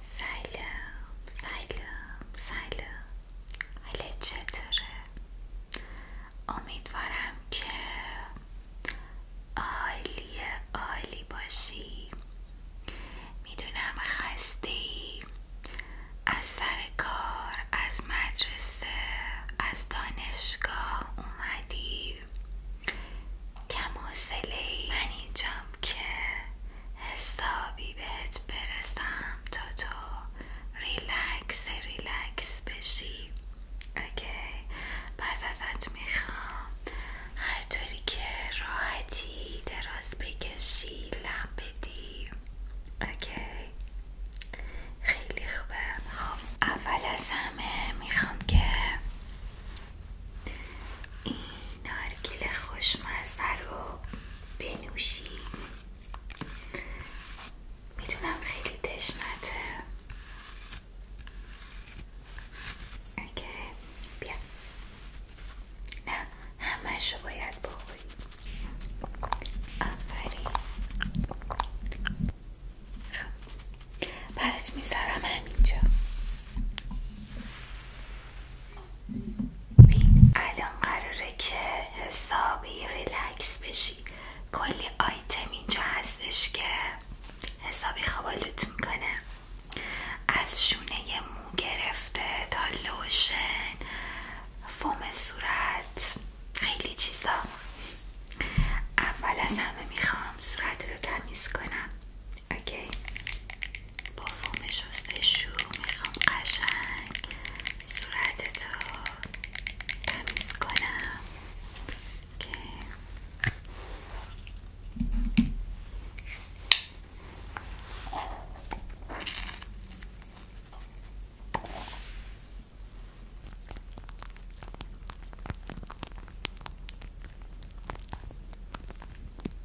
سلام سلام سلام چطوره؟ امیدوارم که عالی عالی باشی میدونم خسته ای از سر کار از مدرسه از دانشگاه اومدی کم ای من اینجام که حسابی بهت برسم تا تو ریلکس ریلکس بشی اوکی پس ازت میخوام هر طوری که راحتی دراز بکشی لام بدی اوکی خیلی خوبه خب اول از همه میخوام که این نارگیل خوشمزه رو بنوشی میدونم خیلی تشنته اوکی بیا نه همش رو باید بخوری آفرین خب برات میذارم همینجا الان قراره که حسابی ریلکس بشی کلی آیتم اینجا هستش که حسابی خوابالوت میکنه از شونه مو گرفته تا لوشن فوم صورت خیلی چیزا اول از همه میخوام صورت رو تمیز کنم اوکی با فوم شستشو میخوام قشنگ صورتتو تمیز کنم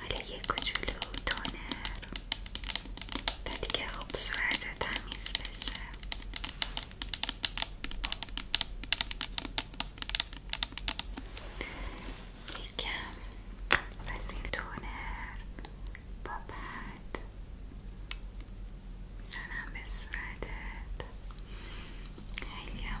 حالا یک کوچولو تونر تا دیگه خوب صورت تمیز بشه کم وزیر دونر با پد زنم به صورتت خیلی هم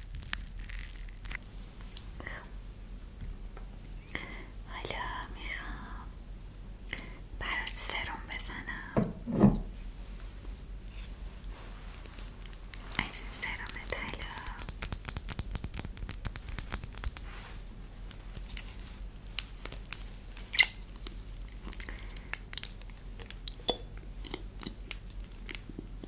حالا میخوام برات سرم بزنم از این سرم طلا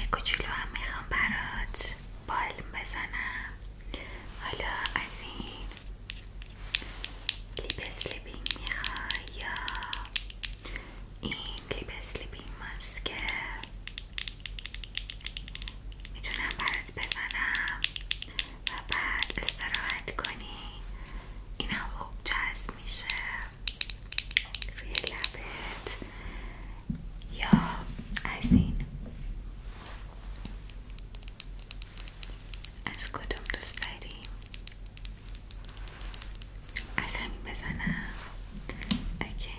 یه کوچولو هم میخوام برات بالم بزنم حالا از این لیب اسلیپینگ میخوای یا این لیپ اسلیپینگ ماسکه میتونم برات بزنم و بعد استراحت کنی اینم خوب جذب میشه روی لبت یا از این از کدوم دوست داری؟ از همین بزنم اوکی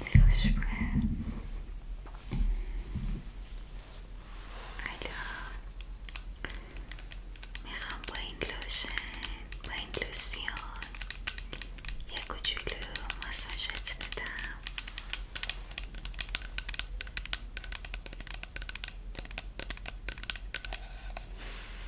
خیلی خوش بوده حالا میخوام با این لوشن با این لوسیان یه کوچولو ماساژت بدم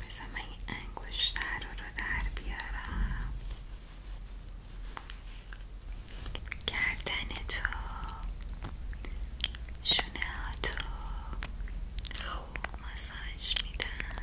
بذار من این رو در بیارم گردن تو شونه ها تو خوب ماساژ میدم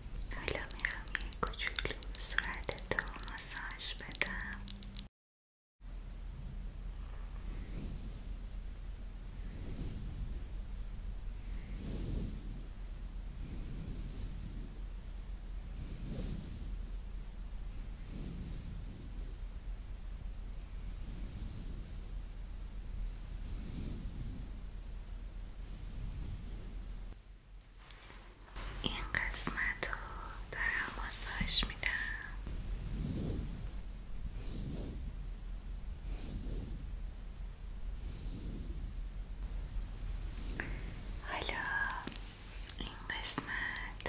حالا میخوام یه کوچولو صورت تو ماساژ بدم این قسمت رو دارم می میدم حالا این قسمت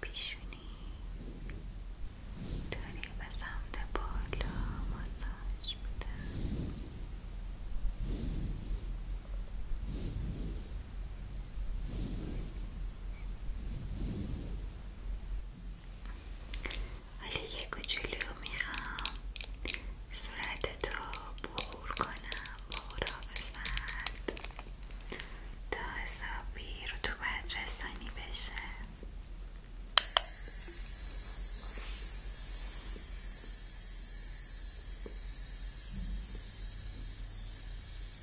پیشونی داری به سمت بالا ماساژ میده ولی یه کوچولو میخوام صورت تو بخور کنم بخورا بزند تا حسابی رو تو بد رسانی بشه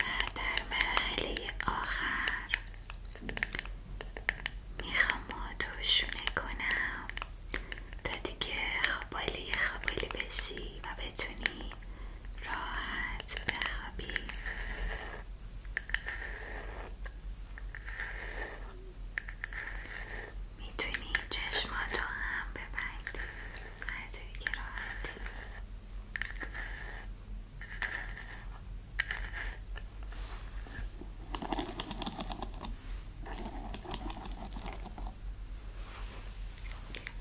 و در مرحله آخر میخوام آتوشونه کنم تا دیگه خبالی خبالی بشی و بتونی راحت بخوابی میتونی چشماتو هم ببندی هر جایی که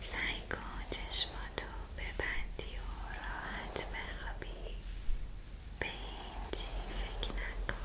سعی کن به ببندی و راحت بخوابی به هیچی فکر نکن